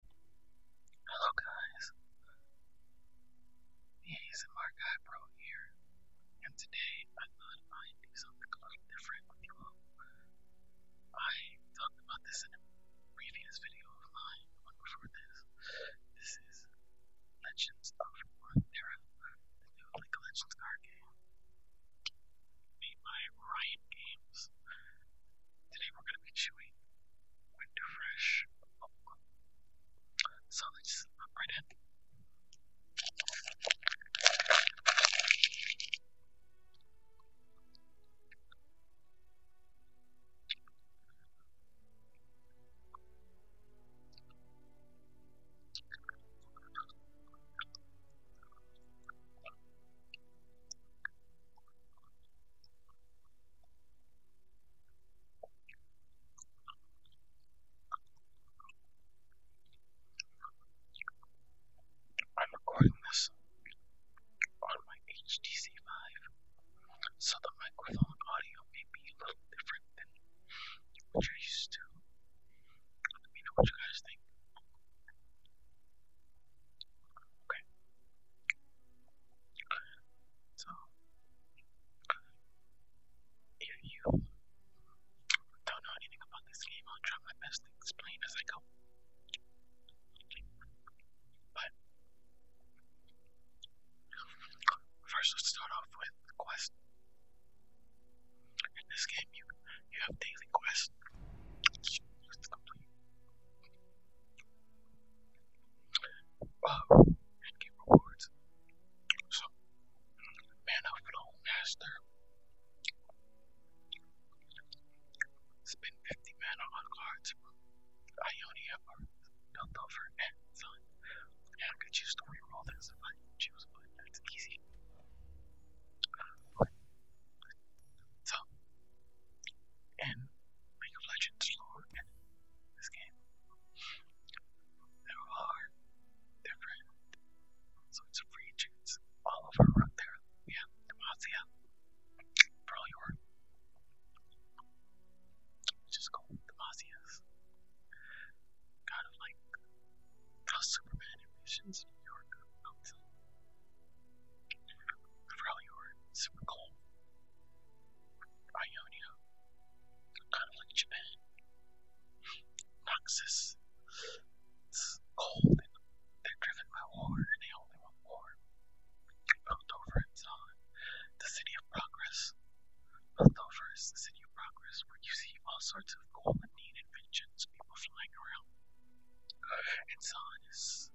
Hello guys, the ASMR guy bro here, and today I thought I'd do something a little different with you all. I talked about this in a previous video of mine, the one before this. This is Legends of Runeterra, the new like Legends card game made by Riot Games. Today we're going to be chewing winter fresh So let's hop right in. I'm recording this on my HTC Vive, so the microphone audio may be a little different than what you're used to. Let me know what you guys think. Okay. So, if you don't know anything about this game, I'll try my best to explain as I go. But, first let's start off with Quest. In this game, you, you have daily quests. Complete uh, get rewards. So, Mana Flow Master. Spend 50 mana on cards. Ionia or Piltover and Sun. I could choose to reroll this if I choose, but that's easy. So, and League of Legends lore in this game. There are different a free regions all over around there. Yeah, Demacia, for all your which is called Demasia's kind of like how Superman envisions New York For all your super cold Ionia, kind of like Japan. Noxus, it's cold and they're driven by war and they only want war. Built over it's the city of progress. Built the city of progress where you see all sorts of cool and neat inventions, people flying around. And Zahn is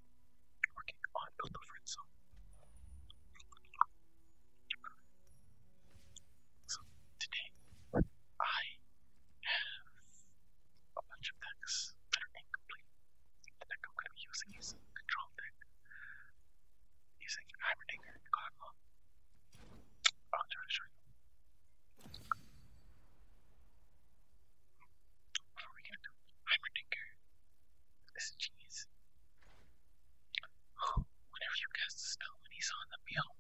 working on the Lorenzo. So today I have a bunch of decks that are incomplete. The deck I'm going to be using is a control deck using Heimerdinger I'll try to show you. What are we going to this cheese. Oh, whenever you cast a spell when he's on the meal,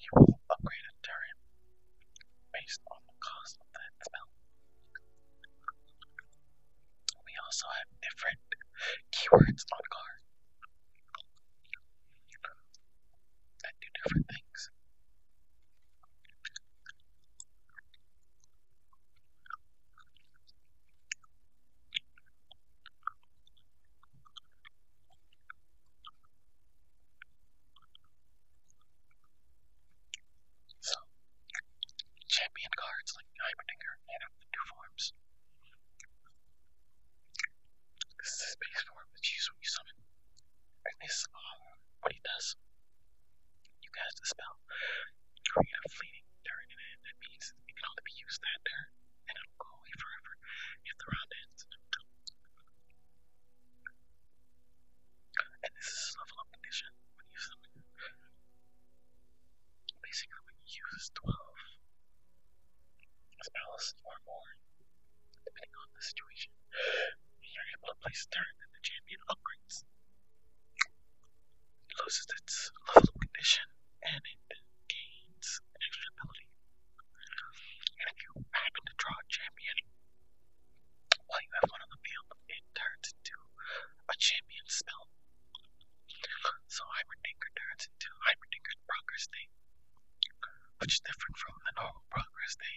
you will upgrade a turret based on the cost of that spell. We also have different keywords on cards that do different things champion cards like Heimerdinger and up the two forms. This is the base form that's used when you summon and this uh, what he does. You guys dispel. Create a fleeting dirt it. That means it can only be that dirt, and it'll go away forever if the round ends. And this is level up condition when you use them. Basically, when you use 12 spells or more, depending on the situation, you're able to place a turn in the champion upgrades. It loses its level condition and it gains an extra ability. And if you happen to draw a champion while you have one on the field, it turns into a champion spell. So Hybrid Dinker turns into Hybrid Dinker's Progress Day, which is different from the normal Progress Day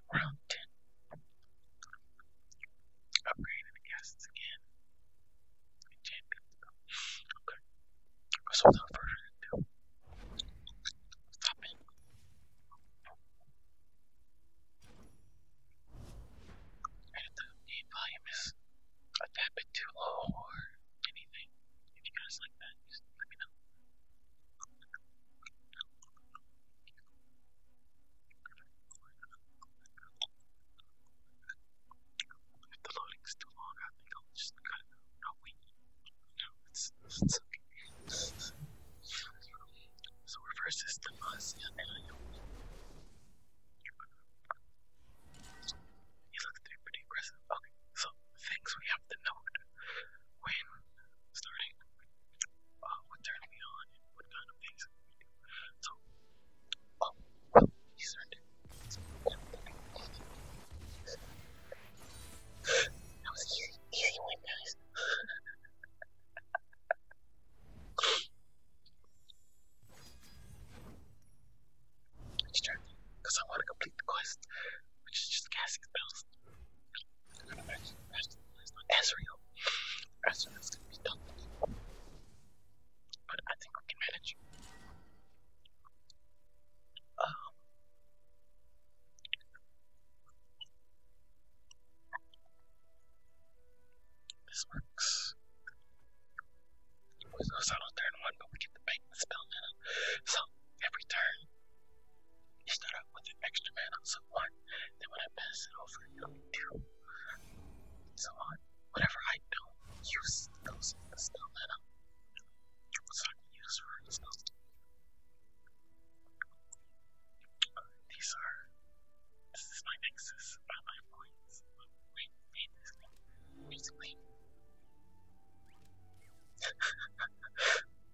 round 10. Upgrading the gases again. Enchanting. Okay. So without further ado, stop it. And if the volume is a tad bit too low or anything, if you guys like that, just let me know. If the loading's too long, I think I'll just cut it No, wait. No, it's, okay. So we're versus the he looks pretty aggressive. Okay, so things we have to note when starting uh, what turns me on and what kind of things we do. oh, these oh, are That was easy, easy one, guys. Let's because I want to complete the quest, which is just casting spells. I'm gonna be tough. But I think we can manage. This works. There's no out on turn one, but we get the bank spell mana. So every turn you start out with an extra man on someone, then when I pass it over, you'll need two. So on. Whatever I don't use, those in the spell mana. So I can use for spells. Uh, these are. This is my nexus, not my points. But we made this basically.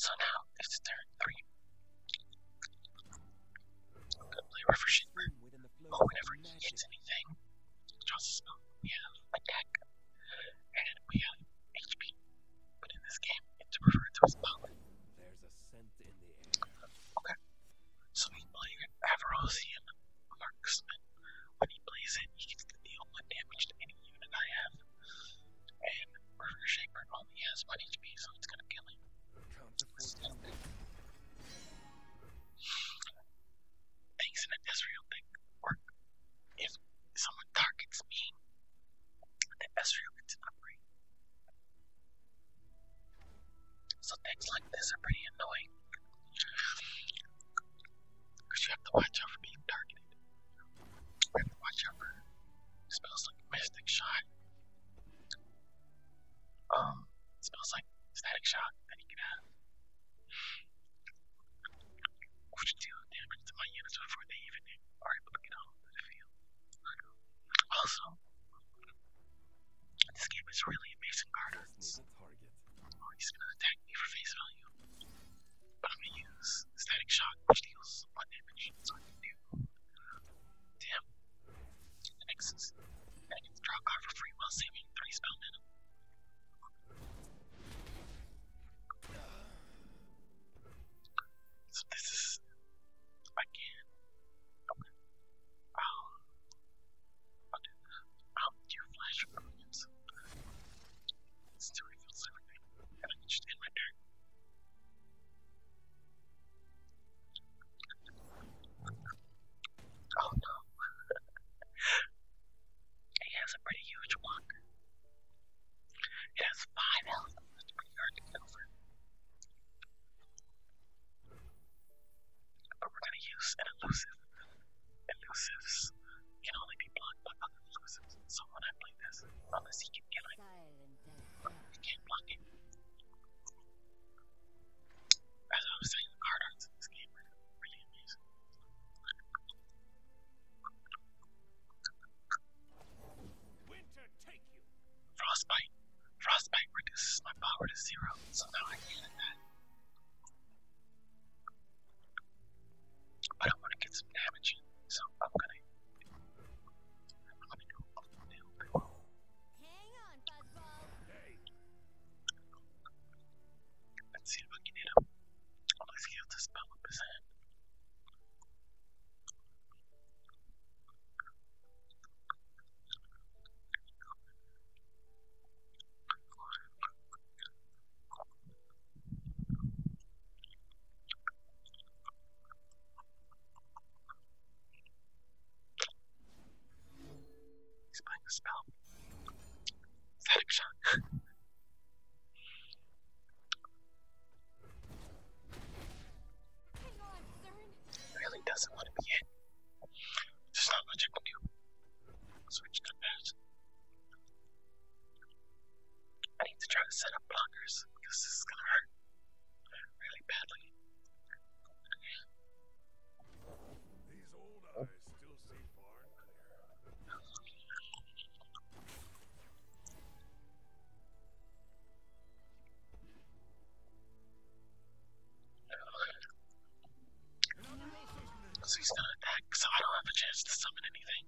So now it's turn three. Good flavor for Shimmer. Oh, whenever he hits anything, draws a spell. We have attack, and we have HP. But in this game, it's referred to a scent Okay. So he's playing an Marksman. When he plays it, he gets deal one damage to any unit I have. And River Shaper only has 1 HP, so it's gonna kill him. Things in a Ezreal thing work. If someone targets me, the Ezreal gets an upgrade. So things like this are pretty annoying. Because you have to watch out for being targeted. And watch out for it smells like mystic shot. Um, it like static shock that he can have. Which damage to my before they even are able to get the field. Also, this game is really amazing card arts. Oh, he's gonna attack me for face value. But I'm gonna use static shock, which deals one damage, so The next I can uh, draw card for free while saving three spell this is I can okay. Um I'll do I'll do flash movements. still reveals everything. Oh no. it has a pretty huge one. It has five health. That's pretty hard to get But we're gonna use an elusive. Elusives can only be blocked by father because it's play this unless he can get it. can't block it. As I was saying, the card arts in this game are really amazing. Frostbite. Frostbite reduces my power to zero, so I can hit that. But I want to get some damage so I'm gonna I'm gonna go Hang on, Buzzball. Let's see if I can hit him. Let's see if the spell up his hand. He's playing a spell. Static shock. really doesn't want to be in. There's not much Switch to that. I need to try to set up blockers because this is gonna hurt really badly. he's not attacked, so I don't have a chance to summon anything.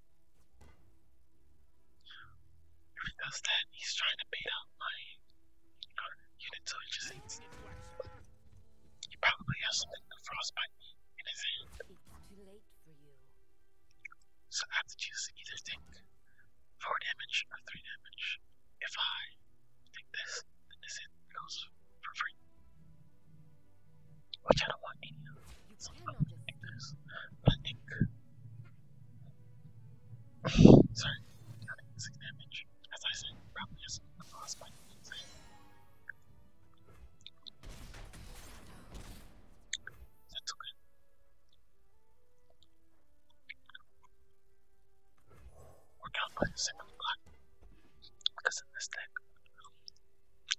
If he does that, he's trying to bait out my unit, so he just eats. He probably has something to frostbite me in his hand. too late for you. So I have to choose either take 4 damage or 3 damage. If I take this, then this hit goes for free. Which I want any of. So I'm gonna this. damage. As I said, probably just a boss fight. That's okay. We're down by the second block. Because in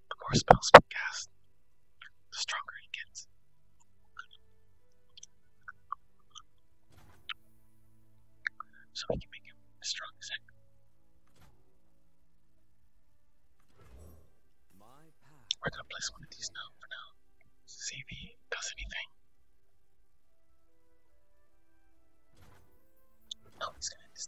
the more spells we cast, the stronger he gets. So we can make him as strong as heck. We're gonna place one of these now for now. does anything. No, oh, he's gonna end his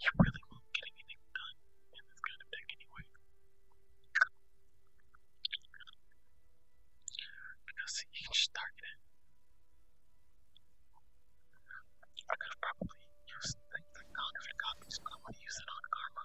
you really won't get anything done in this kind of deck anyway. Because you can just target it. I could have probably used things like 100 copies, but I want to use it on Karma.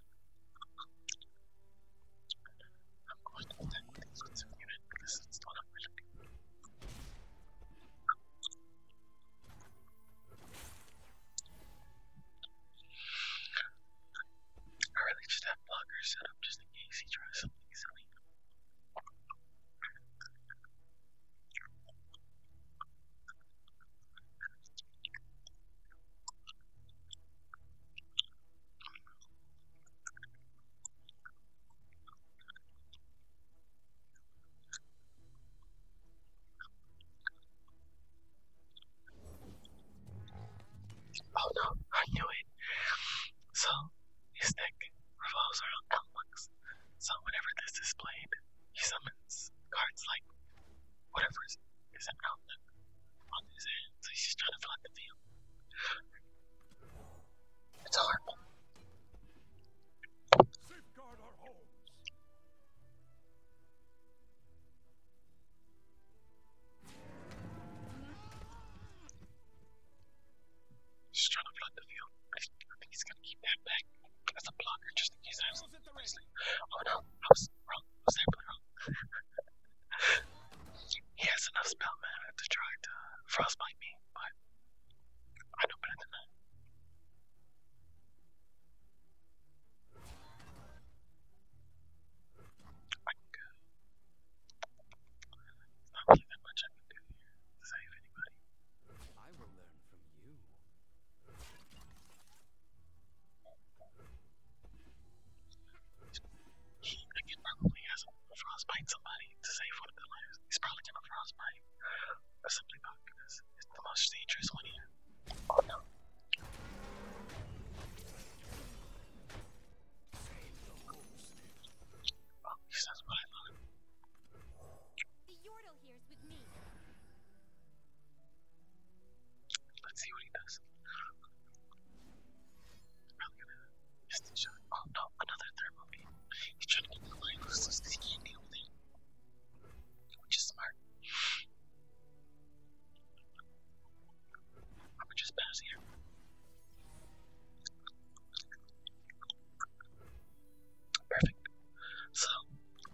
I'm going to attack this consuming unit because it's not a ability. I really should have blocker set up just in case he tries something silly. Oh no, I knew it. So, his neck revolves around Elmux. So, whenever this is played, he summons cards like whatever is, is an out on his He's trying to find the field. It's horrible. Safeguard Just trying to flood the field. I think, he's gonna keep that back as a blocker just in case Oh no, he has enough spell mana to try to frostbite me, but I know better than that. I can go. not really much I can do here to save anybody. I will learn from you. Again, probably hasn't frostbite somebody to save one of their lives. He's probably gonna frostbite a simply bot because it's the most dangerous one here. Oh no. Oh, that's what The Yordle here's with me. Let's see what he does. Probably gonna miss the Oh no, another thermal He's trying to get the line loose because he can't Which is smart. I'm gonna just pass here. Perfect. So,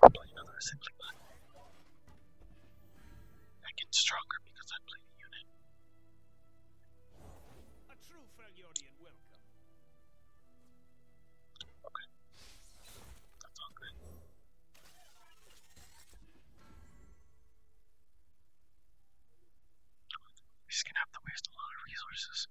I'll play another assembly bot. I get stronger because I play the unit. A true Felurian welcome. Okay. That's all good. She's gonna have to waste a lot of resources.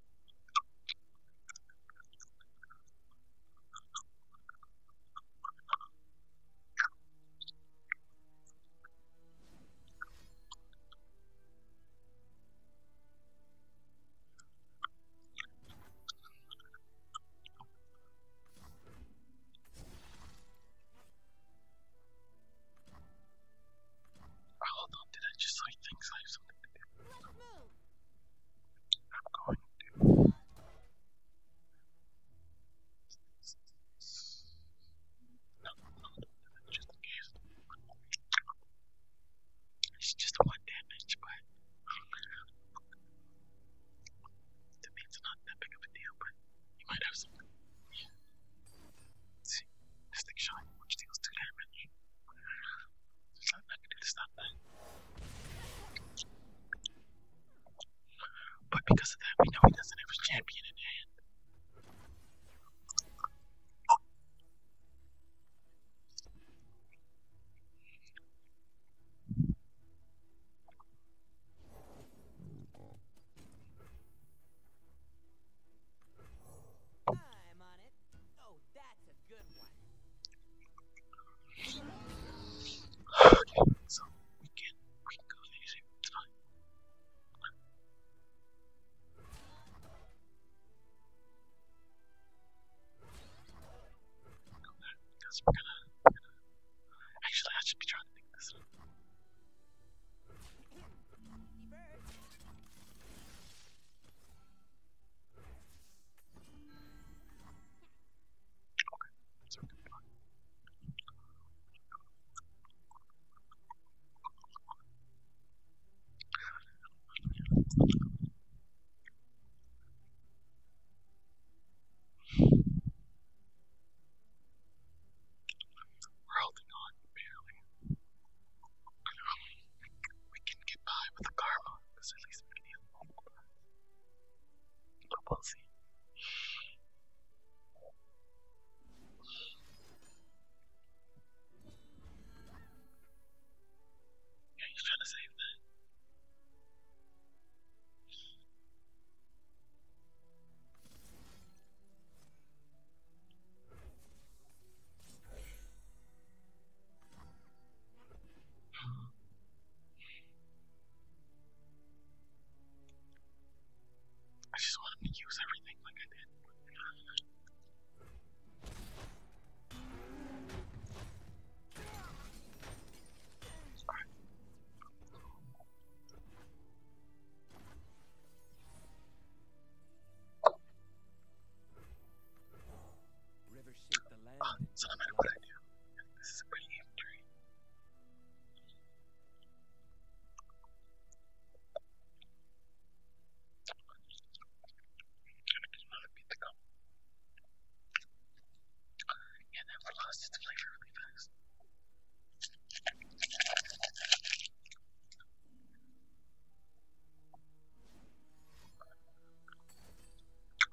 Hold on, did I just like things I have something to do? I'm going to no, no, just in case. It's just one damage, but that means not that big of a deal, but you might have something. See, this thing shot, which deals two damage. There's nothing I can do to stop that. But because of that, we know he doesn't have his champion in hand. Okay, so we can we can go easy tonight. Go there, because we're gonna, we're gonna actually I should be trying to think this up. Okay, that's okay. We're holding on, barely. We can get by with the karma, because at least we can heal multiple times. Yeah, he's trying to save that. I just want him to use everything like I did. so no matter what I do, this is a pretty aim tree. And then we lost its flavor really fast.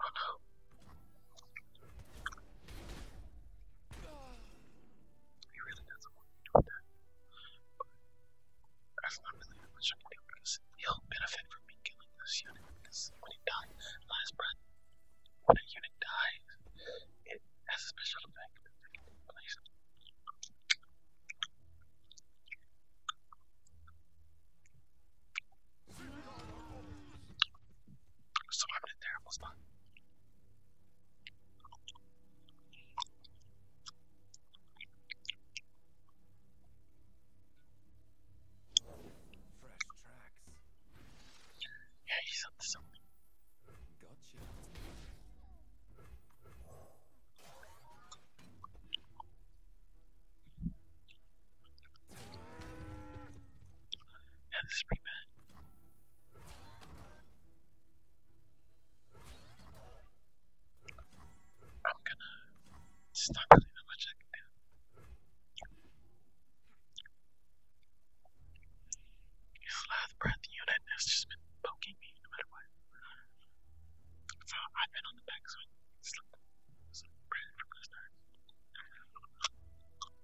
Oh no. He really doesn't want me doing that. that's not really how much I can do because he'll benefit from me killing this unit because when he dies, last breath, when a unit dies, it has a special effect so I'm in a terrible spot. Fresh tracks. Yeah, he's up to something. Gotcha. Yeah, this I'm gonna stop really how much I can do. His last breath unit has just been poking me no matter what. So I've been on the back so I can slip some bread from the start.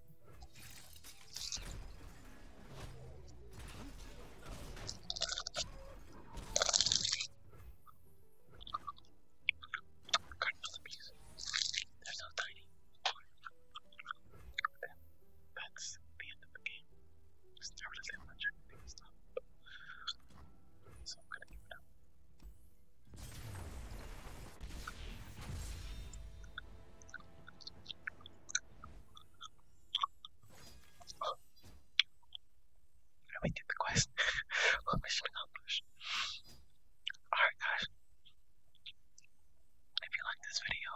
They're so tiny. And that's the end of the game. Just never does anyone check things up. So I'm gonna give it up we did the quest. mission accomplished? Alright guys. If you like this video,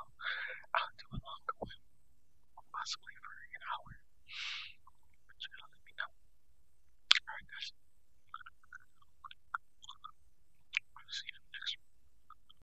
I'll do a longer one. Possibly for an hour. But let me know. Alright guys. I'll see you next